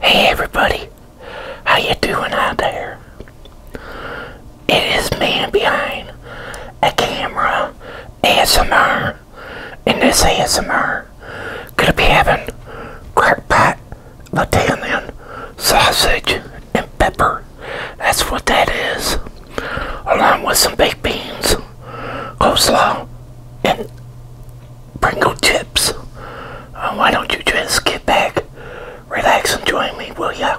Hey everybody, how you doing out there? It is man behind a camera ASMR. and this ASMR, gonna be having crackpot, Italian sausage, and pepper. That's what that is, along with some baked beans, coleslaw, and Pringle chips. Uh, why don't you just get back, relax, and join me, will ya?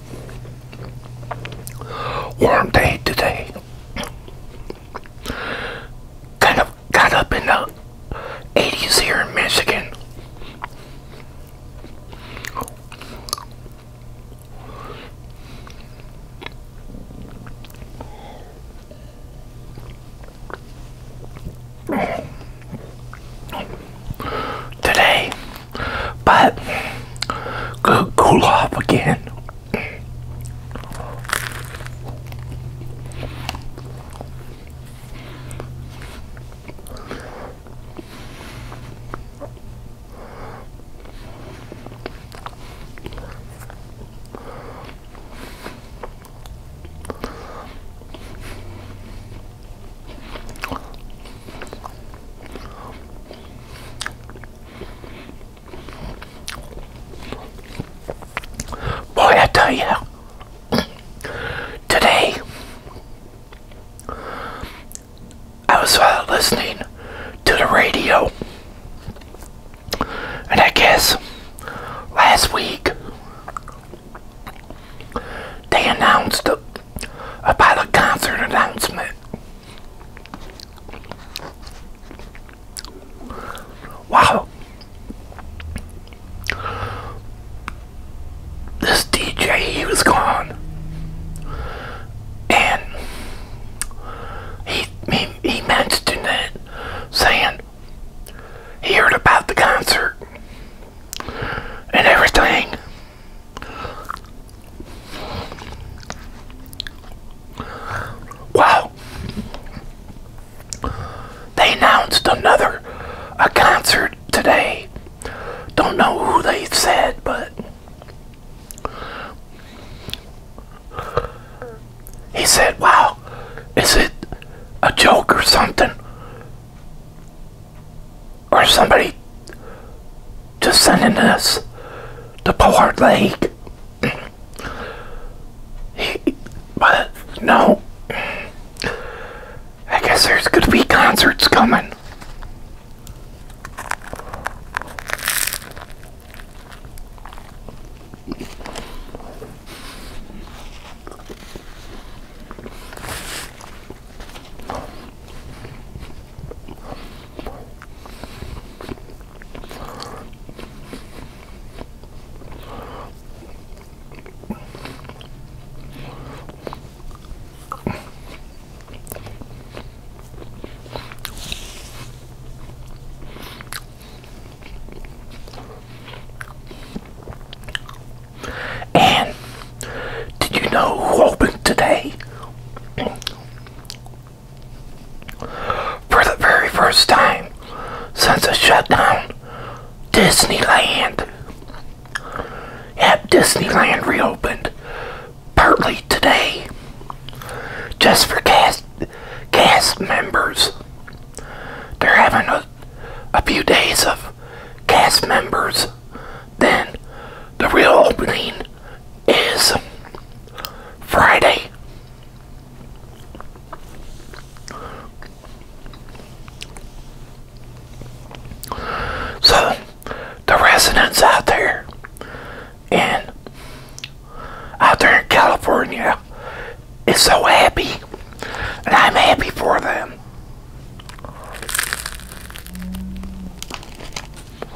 Warm day today. Kind of got up in the 80s here in Michigan. Today, but cool off again. Boy, I today I was uh, listening to the radio, and I guess last week they announced a a concert announcement Wow. This DJ, he was gone. And he, he, he mentioned it, saying he heard about the concert and everything. Wow. They announced another a concert today. Don't know who they said, but he said, "Wow, is it a joke or something?" or somebody just sending us to Pollard Lake. but no, I guess there's going to be concerts coming. And did you know who opened today? For the very first time since the shutdown, Disneyland. Yep, Disneyland reopened partly today just for cast, cast members. They're having a, a few days of cast members, then the real opening is Friday. So, the residents out there in out there in California is so happy, and I'm happy for them.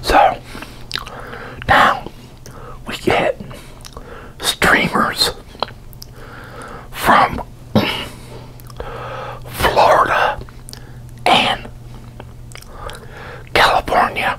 So now we get streamers from Florida and California.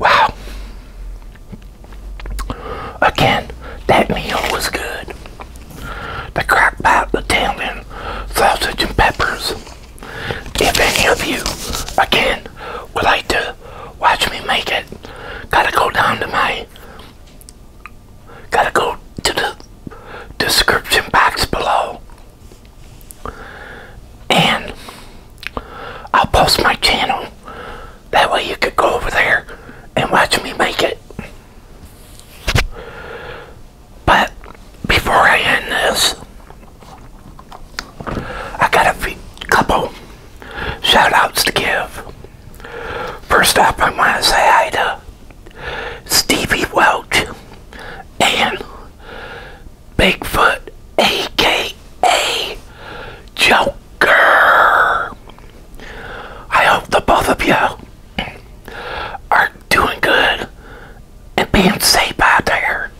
Wow. Again, that meal was good. The crock pot, the tail sausage and peppers. If any of you, again, would like to watch me make it, gotta go down to my, gotta go to the description box below. And I'll post my channel. That way you could go over there and watch me make it. But before I end this, I got a couple shout outs to give. First up, I want to say hi to Stevie Welch and Bigfoot, aka Joker. I hope the both of you are doing good and being safe out there.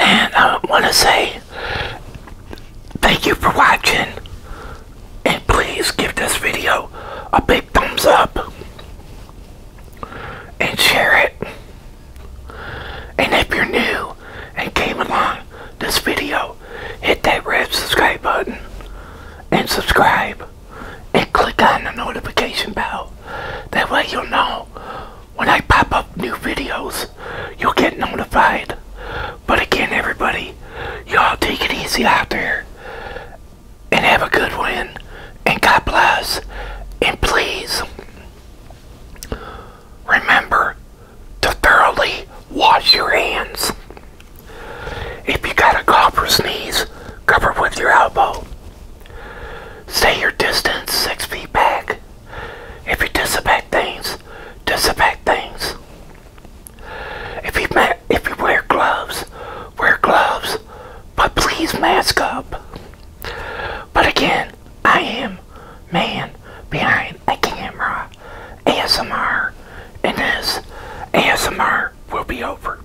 And I want to say thank you for watching. And please give this video a big thumbs up. And share it. And if you're new and came along this video, hit that red subscribe button and subscribe and click on the notification bell. That way you'll know when I pop up new videos, you'll get notified. But again, everybody, y'all take it easy out there and have a good win. and God bless and please remember to thoroughly wash your hands. If you got a cough or sneeze, cover with your elbow. Stay your distance six feet back. If you disinfect things, disinfect things. If you if you wear gloves, wear gloves, but please mask up. But again, I am man behind a camera. ASMR, and this ASMR will be over.